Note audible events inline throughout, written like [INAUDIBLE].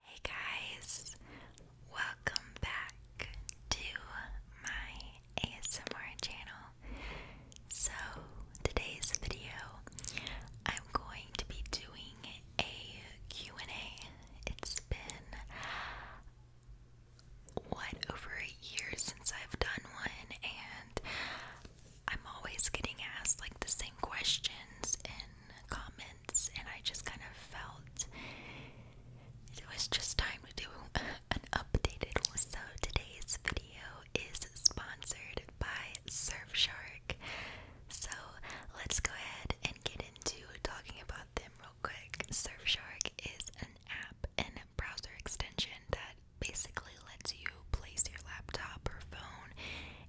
Hey guys, welcome back to my ASMR channel. So, today's video, I'm going to be doing a Q&A. It's been what over a year since I've done one and I'm always getting asked like the same questions in comments and I just kind of felt it was just time to do [LAUGHS] an updated So today's video is sponsored by Surfshark. So let's go ahead and get into talking about them real quick. Surfshark is an app and browser extension that basically lets you place your laptop or phone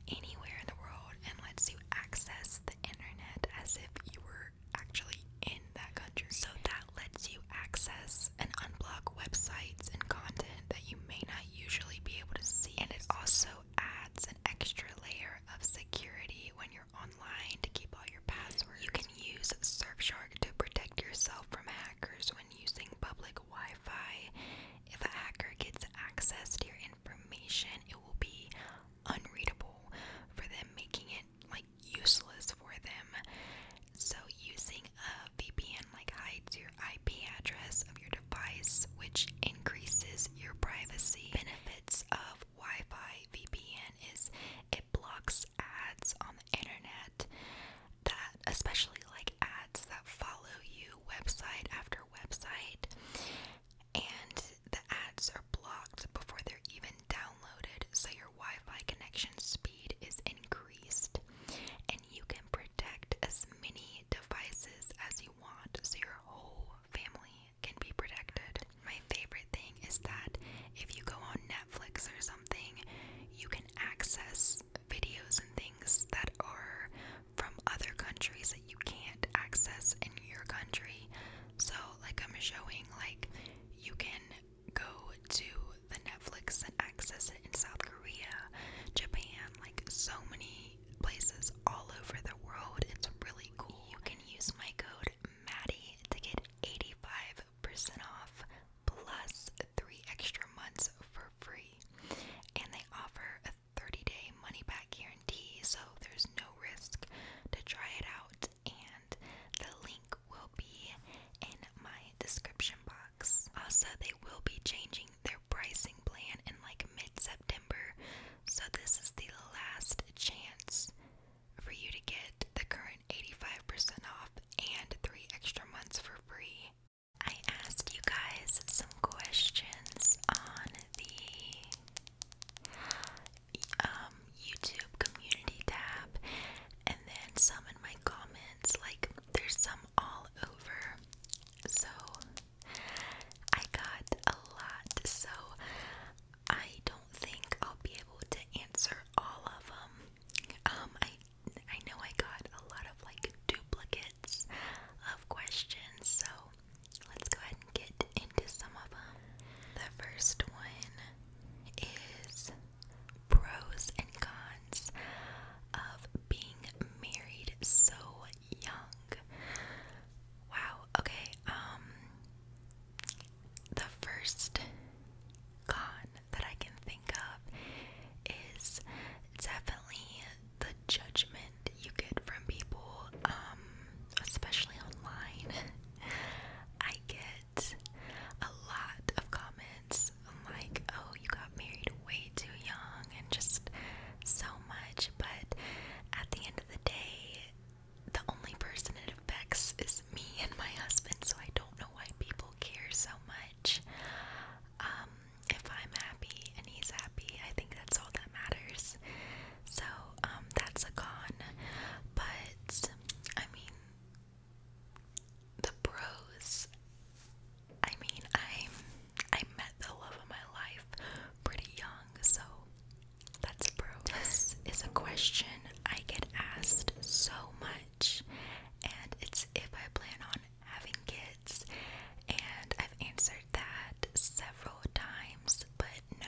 anywhere in the world and lets you access internet as if you were actually in that country. So that lets you access and unblock websites and content that you may not usually be able to see. And it also adds an extra layer of security when you're online to keep all your passwords. You can use Surfshark to protect yourself from hackers when using public Wi Fi. If a hacker gets access to your information, it will be unreadable, for them making it like useless for them. So, using a VPN like hides your IP address of your device, which increases your privacy. Benefits of Wi Fi VPN is it blocks ads on the internet that, especially like ads that follow you website after website and the ads are blocked before they're even downloaded, so your Wi Fi connection speed is increased, and you can protect as many devices as you want, so your whole family can be protected. My favorite thing is that if you go on Netflix or something, you can access videos and things that are from other countries that you can't access in your country. So, like, I'm showing, like, you can go to the Netflix and access it in South Korea, Japan, like, so many places all over the world. It's really cool. You can use my code Maddie to get 85% off plus three extra months for free. And they offer 30-day money-back guarantee, so there's no risk to try it out. And the link will be in my description box. Also, they will be changing their pricing plan in like mid-September, so this is the last chance for you to get the current 85% off and three extra months for free. I asked you guys some questions on the um, YouTube community tab and then some in my comments. Like, there's some all over. So, I got a lot. So, I don't think I'll be able to answer all of them. Um, I I know I got a lot of like duplicates of questions, so let's go ahead and get into some of them. The first one is pros and cons of being married so young. Wow, okay, um, the first con that I can think of is definitely the judgment you get from people, um, especially online. [LAUGHS] I get a lot of comments like, oh, you got married way too young, and just so much. But at the end of the day, the only person it affects is me and my husband, so I don't know why people care so much. Um, if I'm happy and he's happy, I think that's all that matters. So, um, that's a con. But, I mean, the pros. I mean, I I met the love of my life pretty young, so that's a pro. This is a question I get asked so much, and it's if I plan on having kids and I've answered that several times, but no,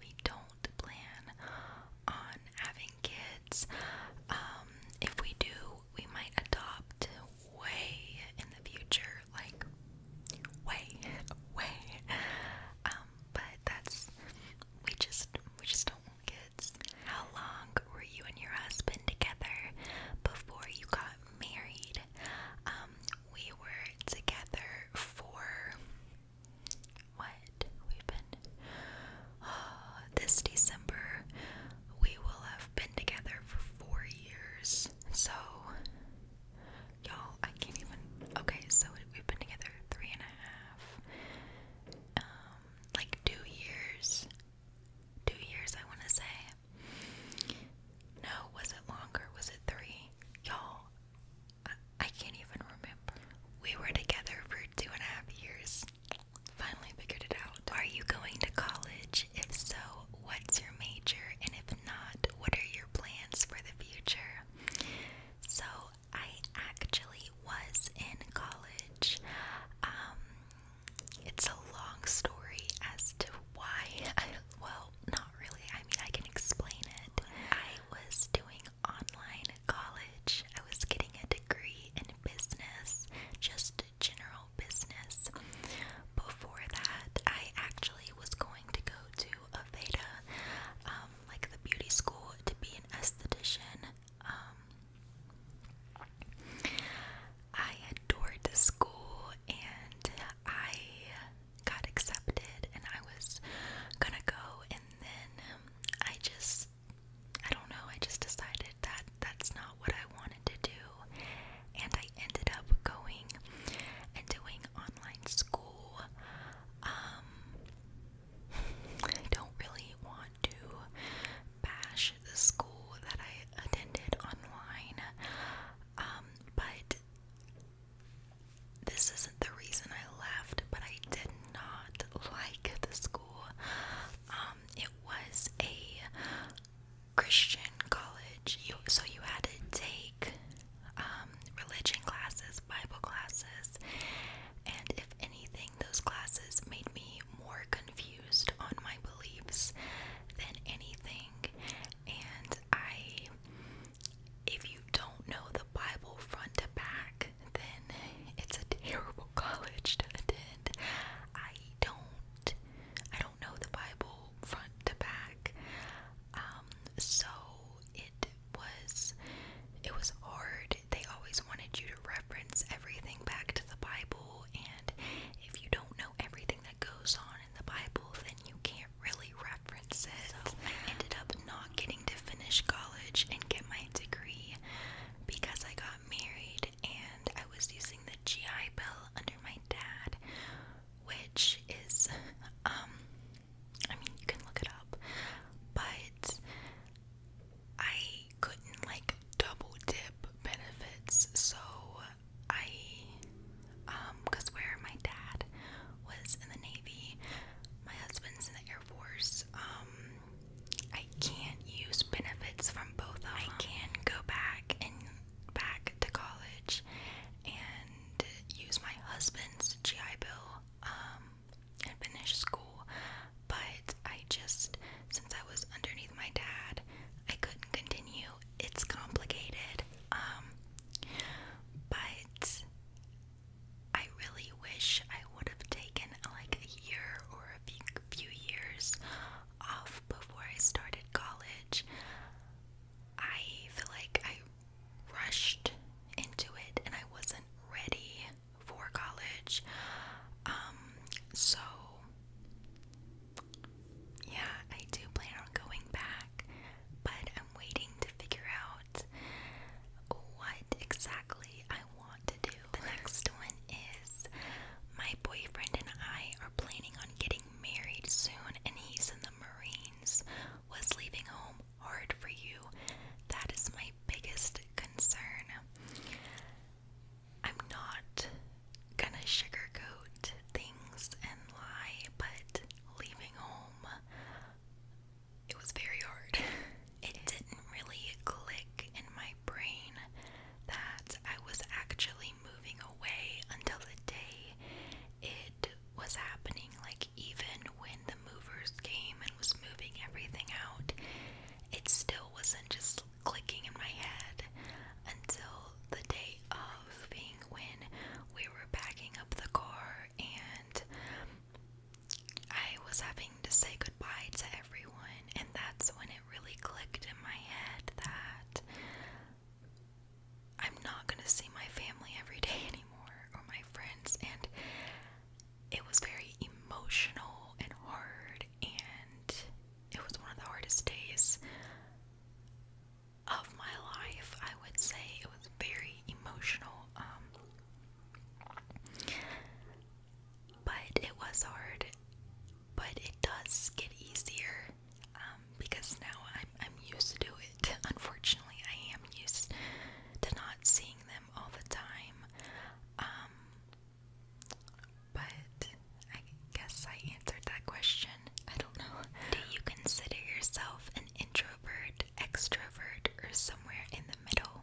we don't plan on having kids. Um, if we do, we might adopt way in the future, like way, [LAUGHS] way. Um, but that's we just we just don't want kids. How long were you and your husband together before you got married? Um, we were together for what? We've been [SIGHS] this December we will have been together for four years. So y'all I can't even okay, so we've been together three and a half um like two years. Two years I wanna say. No, was it longer? Was it three? Y'all, I, can't even remember. We were together for two and a half years. Finally figured it out. Are you going to college? If so, what's your major? And if not, what are your plans for the future? So, I actually was in college. Um, it's a long story as to why I, [LAUGHS] well, not really. I mean, I can explain it. I was doing online college, I was getting a degree in business, just general business. Before that, I actually was going to go to Aveda, um, like the beauty school, to be an esthetician. Um, I adored the school and I got accepted and I was gonna go, and then um, I just, I don't know, I just decided that that's not what I wanted to do, and I ended up going and doing online school. Um, I don't really want to bash the school that I attended online. Um, um, but this isn't the reason I left, but I did not like the school. Um, it was a Christian college, so you had to take um, religion classes, Bible classes, and if anything, those classes made me more confused on my beliefs than anything and I if you don't know the Bible front to back, then it's a terrible [LAUGHS] college to attend. I don't I don't know the Bible front to back. Um so it was it was hard. They always wanted you to reference everything back to the Bible and if you don't know everything that goes on in the Bible, then you can't really reference it. So I ended up not getting to finish college and get my degree because I got married and I was using the GI Bill under my dad, which is, um, I mean, you can look it up, but I couldn't like double dip benefits, so I, because um, where my dad was in the Navy, my husband's in the Air Force, um, I can't use benefits from both of them. I can go back and back to college and use my husband's GI Bill, um, and finish school, but I just, since I was underneath my dad, I couldn't continue. It's complicated. Um but I really wish I would have taken like a year or a few, years off before I started college. I feel like I rushed into it and I wasn't ready for college. Um so yeah, I do plan on going back, but I'm waiting to figure out what exactly I want to do. The next one is my boyfriend and I are planning on getting married soon, and he's in the Marines. Was leaving home hard for you? That is my biggest concern. I'm not Kinda sugarcoat things and lie, but leaving home, it was very hard. [LAUGHS] It didn't really click in my brain that I was actually moving away until the day it was happening. Like, even when the movers came and was moving everything out, it still wasn't just clicking in my head until the day of moving when we were packing up the car and I was having to say goodbye to everyone, and that's when it really clicked in my head that I'm not gonna see my family every day [LAUGHS] anymore or my friends, and it was very emotional and hard, and it was one of the hardest days of my life. I would say it was very emotional, um, but it was hard. But it does get easier um, because now I'm I'm used to do it. [LAUGHS] Unfortunately, I am used to not seeing them all the time. Um, but I guess I answered that question. I don't know. Do you consider yourself an introvert, extrovert, or somewhere in the middle?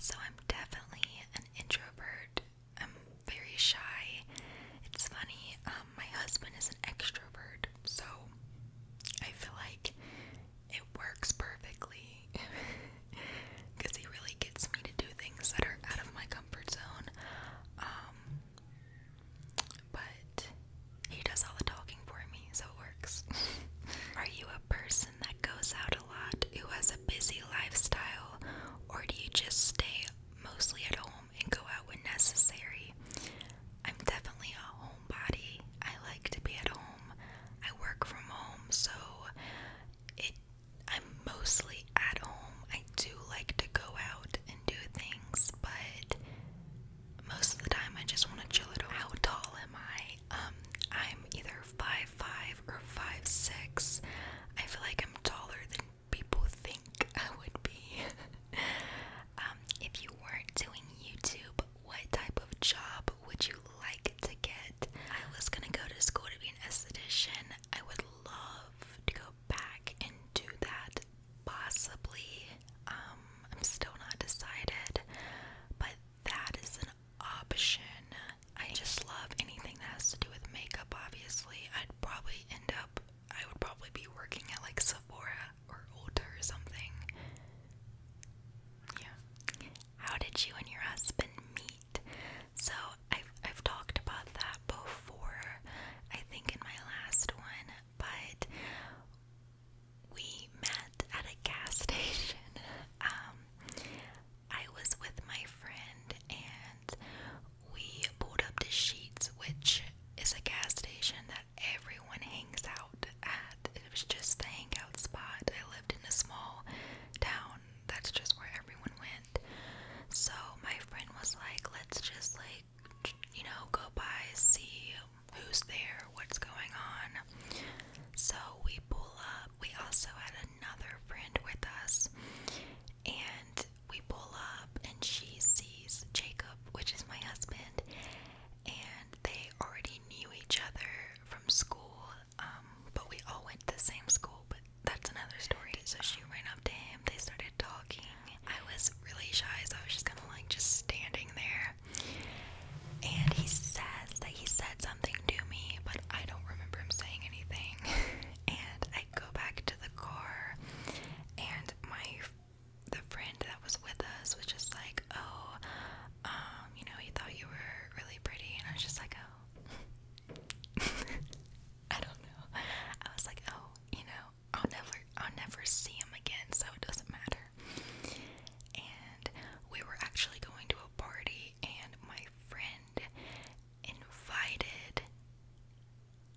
So I'm definitely an introvert. I'm very shy. It's funny, um, my husband is an extrovert, so I feel like it works perfectly because [LAUGHS] he really gets me to do things that are out of my comfort zone. Um, but he does all the talking for me, so it works. [LAUGHS] Are you a person that goes out a lot, who has a busy lifestyle, or do you just stay mostly at home and go out when necessary? I'm definitely a homebody. I like to be at home. I work from home, so it I'm mostly at home. I do like to go out and do things, but most of the time I just want to chill at home. How tall am I? Um, I'm either five five or five six. I feel like I'm taller than people think [LAUGHS] I would be. [LAUGHS] Um, if you weren't doing YouTube, what type of job would you like to get? I was gonna go to school to be an esthetician. I would love to go back and do that possibly. Um, I'm still not decided, but that is an option. I just love anything that has to do with makeup, obviously. I'd probably end up, I would probably be working at like Sephora or Ulta or something. Yeah. How did you and your husband meet? So I've I've talked about that before, I think in my last one, but we met at a gas [LAUGHS] station. Um, I was with my friend and we pulled up to Sheets, which is a gas station that everyone hangs out at. It was just the hangout spot. I lived in a small town that's just where everyone went. So my friend was like, let's just like you know, go by, see who's there, what's going on. So we pull up. We also had another friend with us, and we pull up, and she sees Jacob, which is my husband, and they already knew each other from school. Um, but we all went to the same school, but that's another story. So she ran up to him. They started talking. I was really shy, so I was just kind of like just standing there. And he says that he said something to me, but I don't remember him saying anything. [LAUGHS] and I go back to the car, and my the friend that was with us was just like, "Oh, um, you know, he thought you were really pretty," and I was just like, "Oh." [LAUGHS] I don't know. I was like, oh, you know, I'll never I'll never see him again, so it doesn't matter. And we were actually going to a party and my friend invited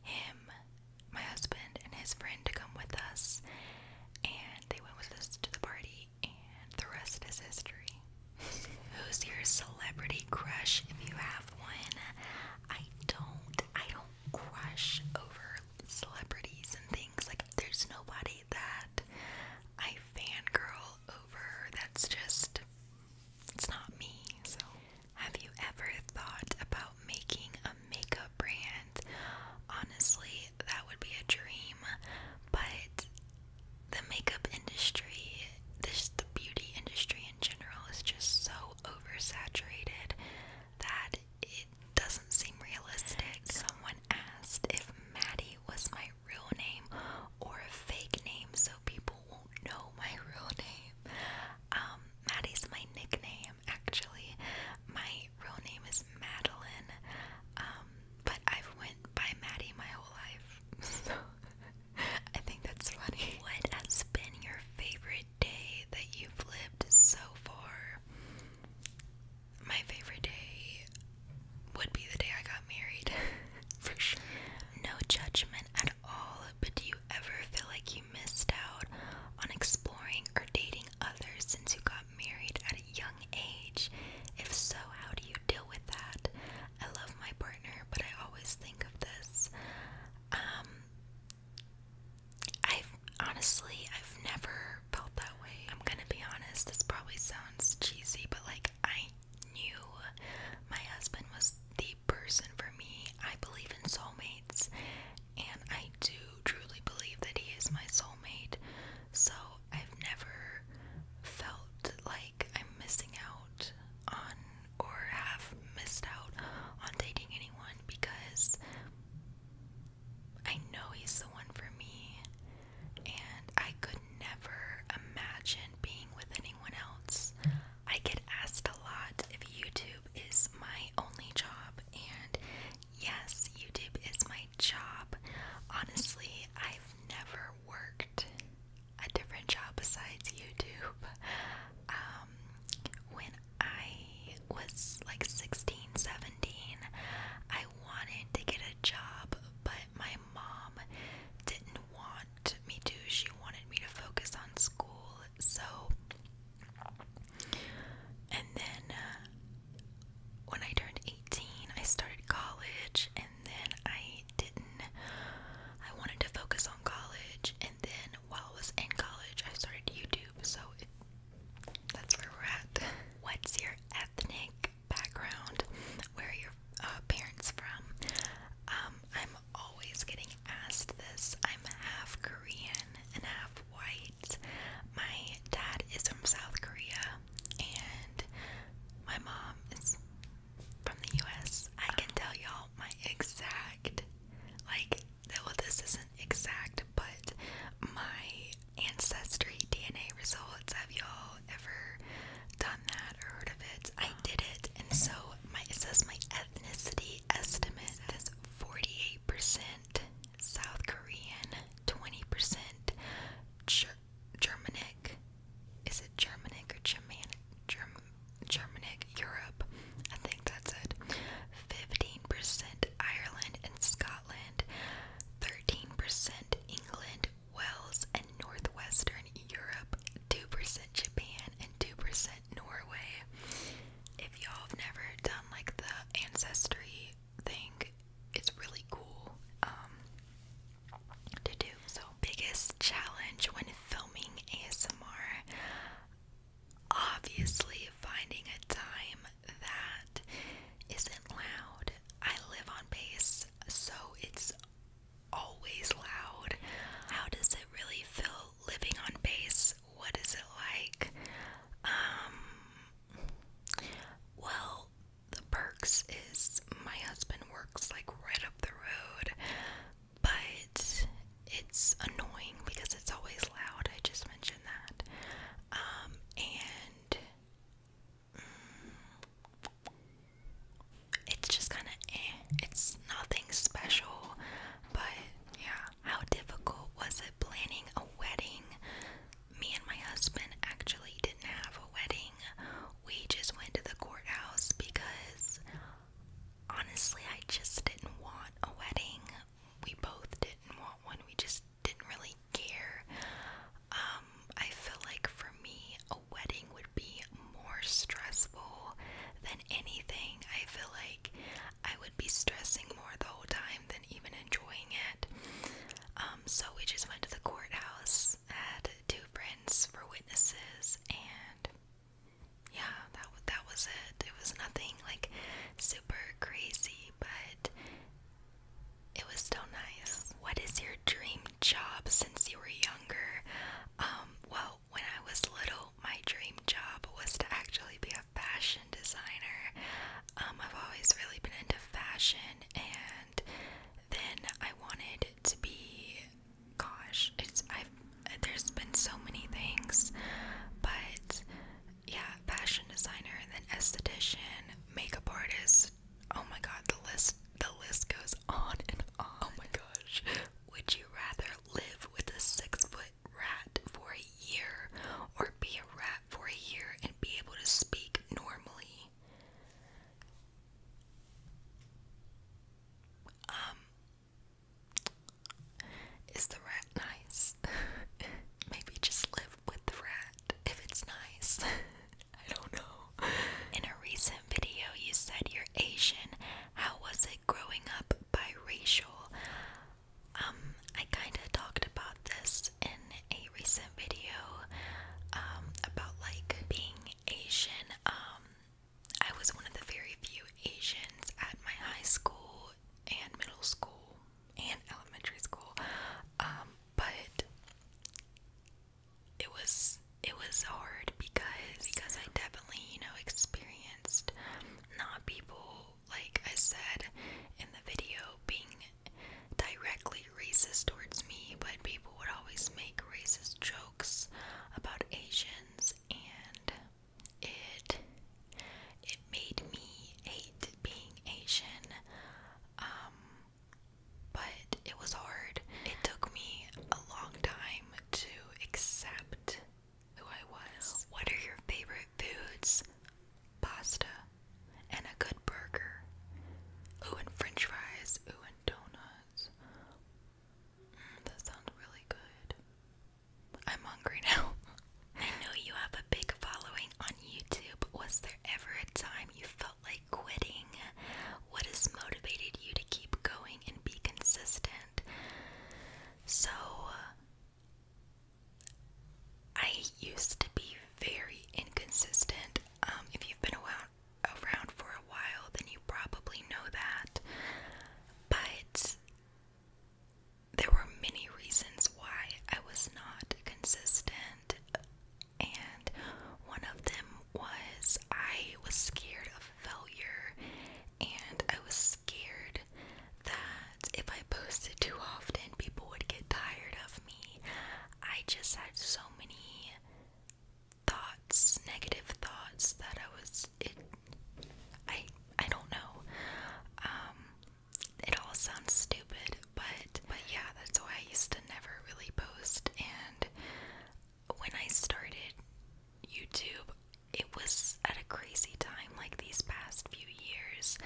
him, my husband, and his friend to come with us, and they went with us to the party, and the rest is history. [LAUGHS] Who's your celebrity crush if you have one? I don't I don't crush over celebrities and things. Like there's nobody that I fan girl over. That's just it's not me. So have you ever thought about making a makeup brand? Honestly, that would be a dream, but the makeup industry this the beauty industry in general is just so oversaturated that it doesn't seem realistic. Someone asked if Maddie was my real name or a fake name so people won't know my real name. Um, Maddie's my nickname actually. My real name is Madeline. Um, but I've went by Maddie my whole life. [LAUGHS] I think that's funny. What has been your favorite day that you've lived so far? My favorite day would be the day I got married. [LAUGHS] For sure. No judgment at all, but do you ever feel like you missed out on exploring or dating others since you got married at a young age? If so, how do you deal with that? I love my partner, but I always think of this. Um, I've honestly, I've never felt that way. I'm gonna be honest, this probably sounds cheesy, but like, I knew my husband was the person for me. I believe in soulmates, and I do truly believe that he is my soulmate. So, I've never felt like I'm missing out on or have missed out on dating anyone because I know he's the one for me, and I could never imagine being with anyone else. I get asked a lot if YouTube is my only job, and yes, YouTube is my job. Honestly, I've never worked a different job besides YouTube. Um, when I was like 16, 17, I wanted to get a job, but my mom didn't want me to. She wanted me to focus on school. So, and then uh, when I turned 18, I started college, and then I didn't. I wanted to focus on college, and then while I was in college, I started YouTube, so it, that's where we're at. What's your ethnic background? Where are your uh, parents from? Um, I'm always getting asked this. I'm half Korean and half white. My dad is from South Korea, and my mom is from the US, I can tell y'all my exact, like, well, this isn't exact, but my ancestry DNA results. Have y'all ever done that or heard of it? I did it, and so my it says my ethnicity estimate is 48% South Korean, 20% Germanic, is it Germanic or Germanic? Germanic Europe. I think that's it. 15% Ireland and Scotland. 13% England, Wales, and Northwestern Europe. 2% Japan and 2% Norway. If y'all have never done like the ancestry thing, it's really cool. Um, to do. So, biggest challenge when filming ASMR obviously finding a time that isn't loud. I live on base, so it's always loud. How does it really feel living on base? What is it like? Um, well, the perks is my husband works like right up the road but it's annoying because it's always loud. I just mentioned that. Um, and mm, it's just kind of eh, It's nothing special, but yeah. How difficult was it planning a wedding? Me and my husband actually didn't have a wedding we just went to the courthouse because honestly, I just didn't want a wedding. We both didn't want one, we just didn't really care. Um, I feel like for me, a wedding would be more stressful than anything. I feel like I would be stressing more the whole time than even enjoying it. Um, so we just went to the courthouse, had two friends for witnesses, and yeah, that that was it. It was nothing like super crazy, but it was still nice. What is your dream job since you were younger? Um, well, when I was little, my dream job was to actually be a fashion designer. Um, I've always really been into fashion, and then I wanted to be gosh, it's I've there's been so many things, but yeah, fashion designer and then esthetician, makeup artist. Oh my god, the list the list goes on and on. Oh my gosh. Would you rather live with a six foot rat for a year or be a rat for a year and be able to speak normally? Um, is the rat nice? [LAUGHS] Maybe just live with the rat if it's nice. [LAUGHS] I don't know. In a recent video, you said you're Asian. How was it growing up biracial? Um, I kind of talked about this in a recent video um, about like being Asian. Um, I was one of the very few Asians at my high school and middle school and elementary school. Um, but it was it was hard because because I definitely, you know, experienced not people like I said in the video being directly racist towards me, but people would always make racist jokes about Asians and it it made me hate being Asian. Um, but it was hard. It took me a long time to accept who I was. What are your favorite foods? Pasta and a good burger. Oh, and french fries. Oh, and donuts. Mm, that sounds really good. I'm hungry [LAUGHS] now. I know you have a big following on YouTube. Was there ever a time you felt like quitting? What has motivated you to keep going and be consistent? So, uh, I used to be very inconsistent. Um, if you've been around around for a while, then you probably know that. But there were many reasons why I was not consistent, and one of them was I was scared of failure, and I was scared that if I posted too often, people would get tired of me. I just had so many thoughts, negative thoughts that I was it I I don't know. Um it all sounds stupid, but but yeah, that's why I used to never really post and when I started YouTube, it was at a crazy time like these past few years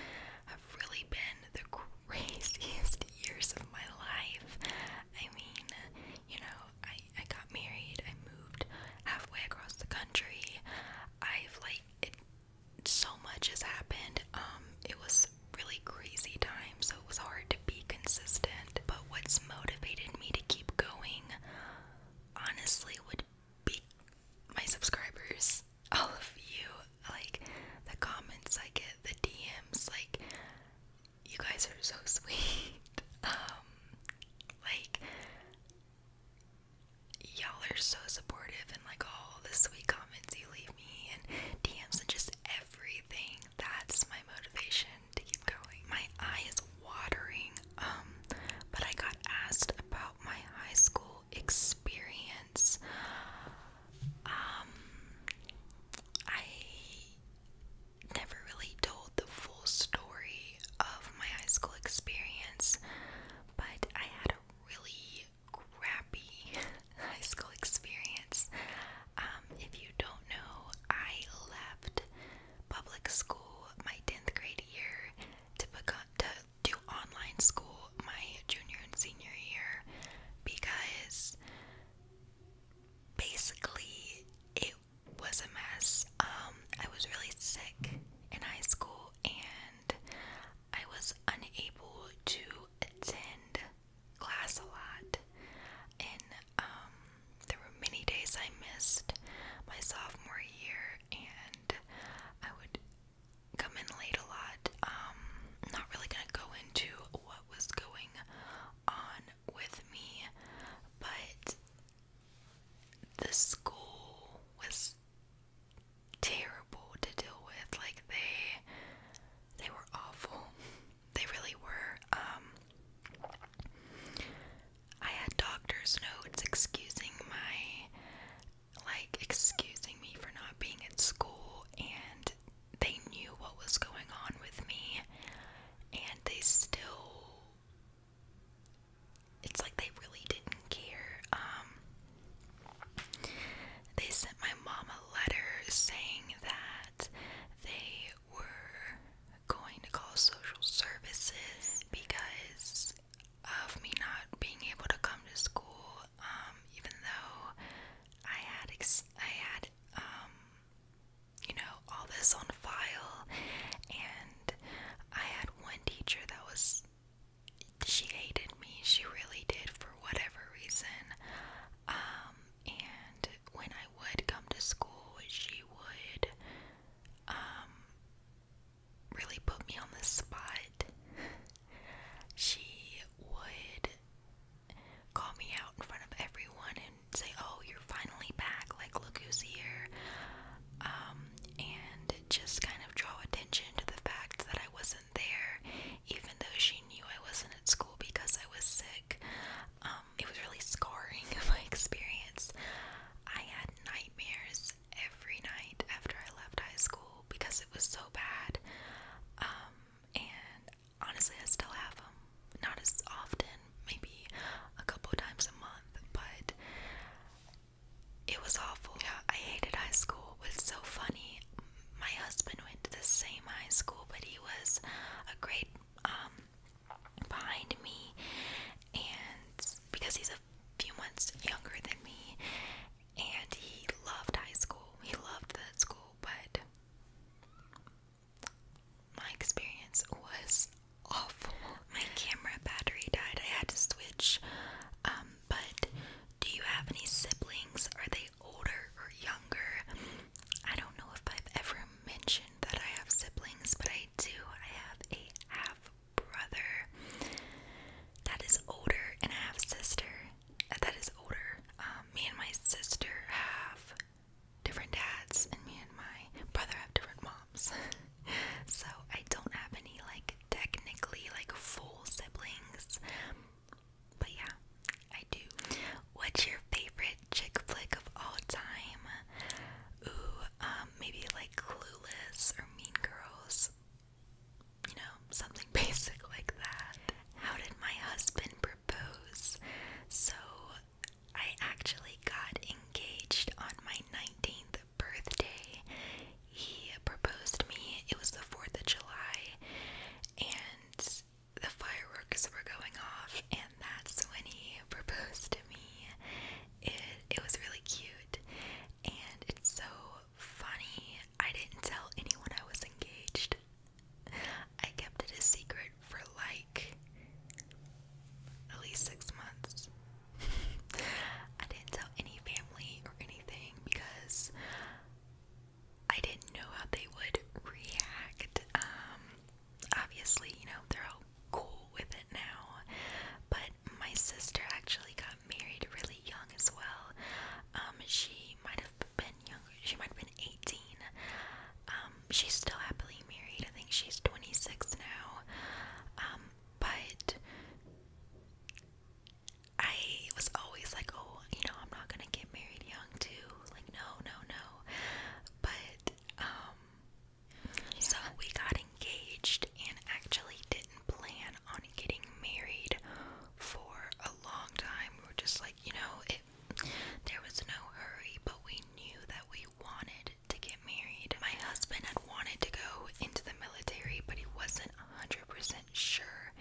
have really been the [LAUGHS] craziest years of my life. I mean, you know, I I got married. I moved halfway across the country. I've like it, so much has happened. Um, it was really crazy time, so it was hard to be consistent. But what's motivated me to keep going, honestly, would be my subscribers. All of you, like the comments I get, the DMs, like you guys are so sweet. [LAUGHS] Um, like, y'all are so supportive, and like all the sweet comments you leave me, and DMs, and just everything. That's my motivation to keep going. My eye watering. Um, but I got asked about my high school experience. Um, I never really told the full story of my high school experience, but I had a really crappy [LAUGHS] high school experience. Um, if you don't know, I left public school my 10th grade year to, to do online school my junior and senior year because basically, it was a mess. Um, I was really sick in high school and I was unable to attend class a lot. And um, there were many days I missed my sophomore year, and I would come in late a lot. Um, not really gonna go into what was going on with me, but the school was terrible to deal with. Like they they were awful. [LAUGHS] They really were. Um, I had doctor's notes excusing my like excusing me for not being at school and they knew what was going on with me and they still it's like they really didn't care. Um, they sent my mom a letter saying that they were going to call social services because of me not being able to come to school um, even though I had I had um, you know, all this on file. And I had one teacher that was, she hated me. She really did for whatever reason. Um, and when I would come to school, she would, um, really put me on the spot. She would call me out in front of everyone and say, "Oh, you're finally back! Like, look who's here!" Um, and just kind of draw attention to the fact that I wasn't there, even though she knew I wasn't at school because I was sick. Um, it was really scarring my [LAUGHS] experience. I had nightmares every night after I left high school because it was so bad. Um, and honestly, I still have them. Not as often, maybe a couple times a month, but it was awful. Yeah, I hated high school. It was so funny. My husband went to the same high school, but he was a grade um, behind me, and because he's a few months younger than me, and he loved high school. He loved that school, but my experience was awful. My camera battery died. I had to switch. Um, but do you have any siblings? Are they older or younger? I don't know if I've ever mentioned that I have siblings, but I do. I have a half brother that is older and I have a sister uh, that is older. Um, me and my sister have different dads, and me and my brother have different moms. [LAUGHS] so I don't have any, like, technically, like, full siblings. But yeah, I do. What's your favorite chick flick of all time? Ooh, um, maybe like Clueless or Mean Girls. You know, something [LAUGHS] basic like that. How did my husband propose. So I actually got engaged on my 19th birthday. He proposed me. It was the 4th of July and the fireworks were going off and that's when he proposed to me. It it was really cute and it's so funny. I didn't tell anyone I was engaged. I kept it a secret for like at least six months. [LAUGHS] I didn't tell any family or anything because I didn't know how they would react. Um, obviously, you know, they're all cool with it now. But my sister actually got married really young as well. Um, she might have been she might have been 18. Um, she's still happily married. I think she's 26 now. Um, but I was always like, oh, you know, I'm not gonna get married young too. Like, no, no, no. But um, so we got engaged and actually didn't plan on getting married for a long time. We were just like, you know, it, there was no hurry, but we knew that we wanted to get married. My husband had wanted to go into the military, but he wasn't 100% sure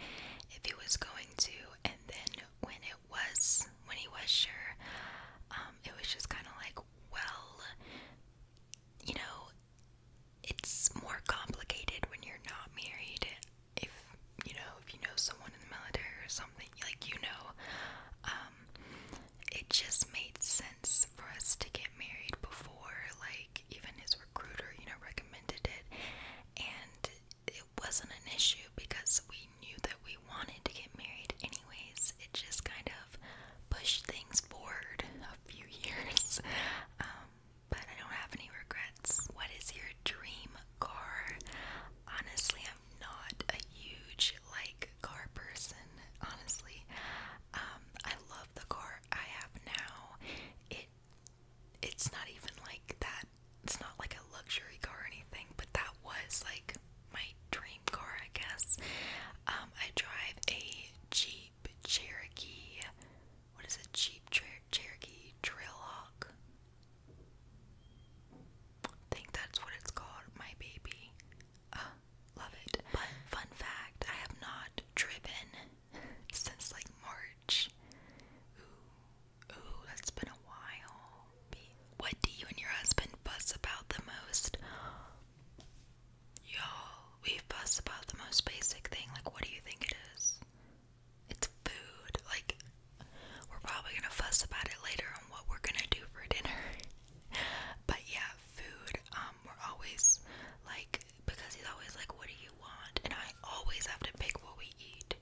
if he was going to. And then when it was, when he was sure, um, it was just kind of like, well, you know, it's more complicated when you're not married if you know if you know someone in the military or something like you know um it just made sense for us to get married before like even his recruiter you know recommended it and it wasn't an issue because we knew that we wanted to get married anyways it just kind of pushed things forward a few [LAUGHS] years um but I don't have any regrets. What is your dream car. Honestly, I'm not a huge like car person. Honestly, um, I love the car I have now. It it's not even like that. It's not like a luxury car or anything, but that was like my dream car, I guess. Um, I drive a Jeep Cherokee. What is a Jeep Cher Cherokee Trailhawk? think that's what it's called, My Baby. love it. fun fact, I have not driven [LAUGHS] since like March. ooh, that's been a while. What do you and your husband fuss about the most? Y'all, we fuss about the most basic thing. Like, what do you think it is? It's food. Like, we're probably gonna fuss about it later on what we're gonna do for dinner. [LAUGHS] but yeah, food. Um, we're always like, because he's always like, What do you want? And I always have to pick what we eat.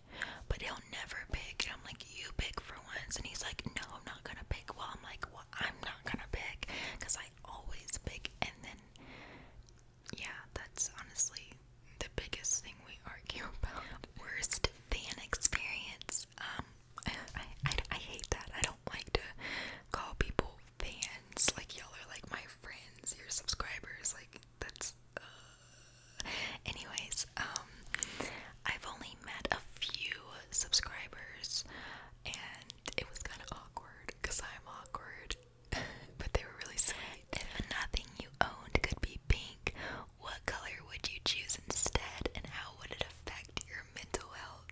But he'll never pick. And I'm like, You pick for once. And he's like, No, I'm not gonna pick. Well, I'm like, Well, I'm not gonna pick. Because I always pick. And then, yeah, that's honestly the biggest thing we argue about. Worst fan experience. Um, I, I, hate that. I don't like to call people fans. Like, y'all are like my friends, your subscribers. Like, that's. Uh. Anyways, um, I've only met a few subscribers, and it was kind of awkward because I'm awkward, [LAUGHS] but they were really sweet. If nothing you owned could be pink what color would you choose instead, and how would it affect your mental health?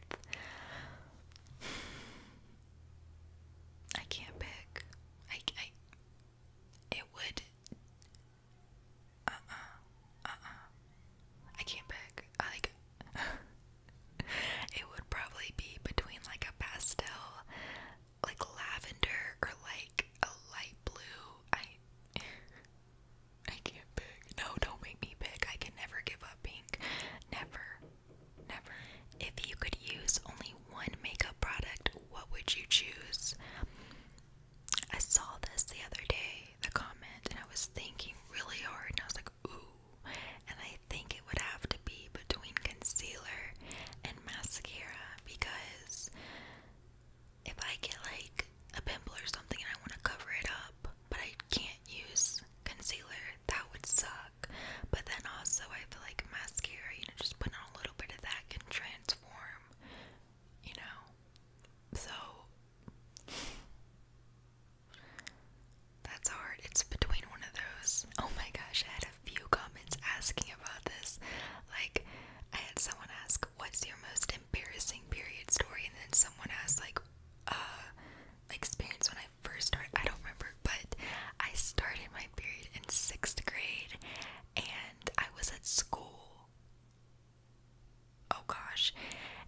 I can't pick. I it would uh-uh, uh-uh. I can't pick. I like [LAUGHS] it would probably be between like a pastel like lavender or like a light blue. I [LAUGHS] I can't pick. No, don't make me pick. I can never give up pink. Never. Never. If you could use only one makeup product, what would you choose? I saw this the other day, the comment, and I was thinking really hard and I was like, ooh. And I think it would have to be between concealer and mascara because if I get like a pimple or something and I want to cover it up, but I can't use concealer, that would suck. But then also, I feel like mascara, you know, just putting on a little bit of that can transform, you know. So that's hard. It's between one of those. Oh my gosh, I a few comments asking about this. Like, I had someone ask, "What's your most embarrassing period story?" and then someone asked, like, "Uh, experience when I first started." I don't remember, but I started my period in sixth grade, and I was at school. Oh gosh,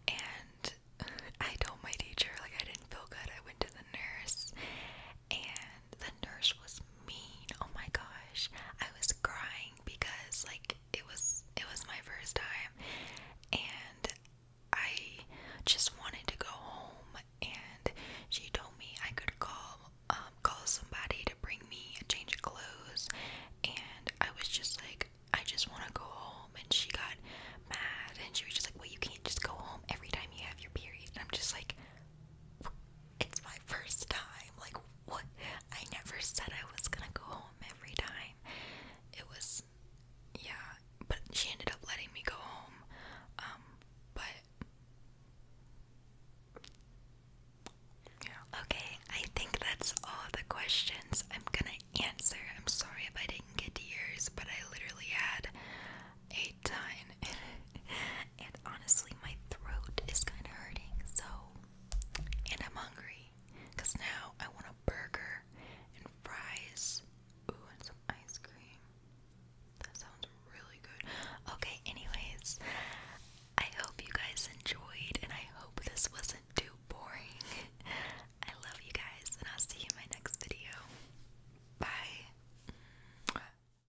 and [LAUGHS] I told my teacher like I didn't feel good. I went to the nurse, and the nurse was mean. Oh my gosh. I was crying because like it was it was my first time and I just wanted to go home and she told me I could call um call somebody to bring me a change of clothes and I was just like I just want to go home and she got mad and she was just like well you can't just go home every time you have your period and I'm just like it's my first time. Like, what? I never said I was gonna go home every time. It was, yeah, but she ended up letting me go home. Um, but, yeah. Okay, I think that's all the questions I'm gonna answer. I'm sorry if I didn't get to yours, but I literally had a ton. [LAUGHS] and honestly, my throat is kind of hurting, so. And I'm hungry. Because now I want a burger and fries. Ooh, and some ice cream. That sounds really good. Okay, anyways, I hope you guys enjoyed, and I hope this wasn't too boring. [LAUGHS] I love you guys, and I'll see you in my next video. Bye.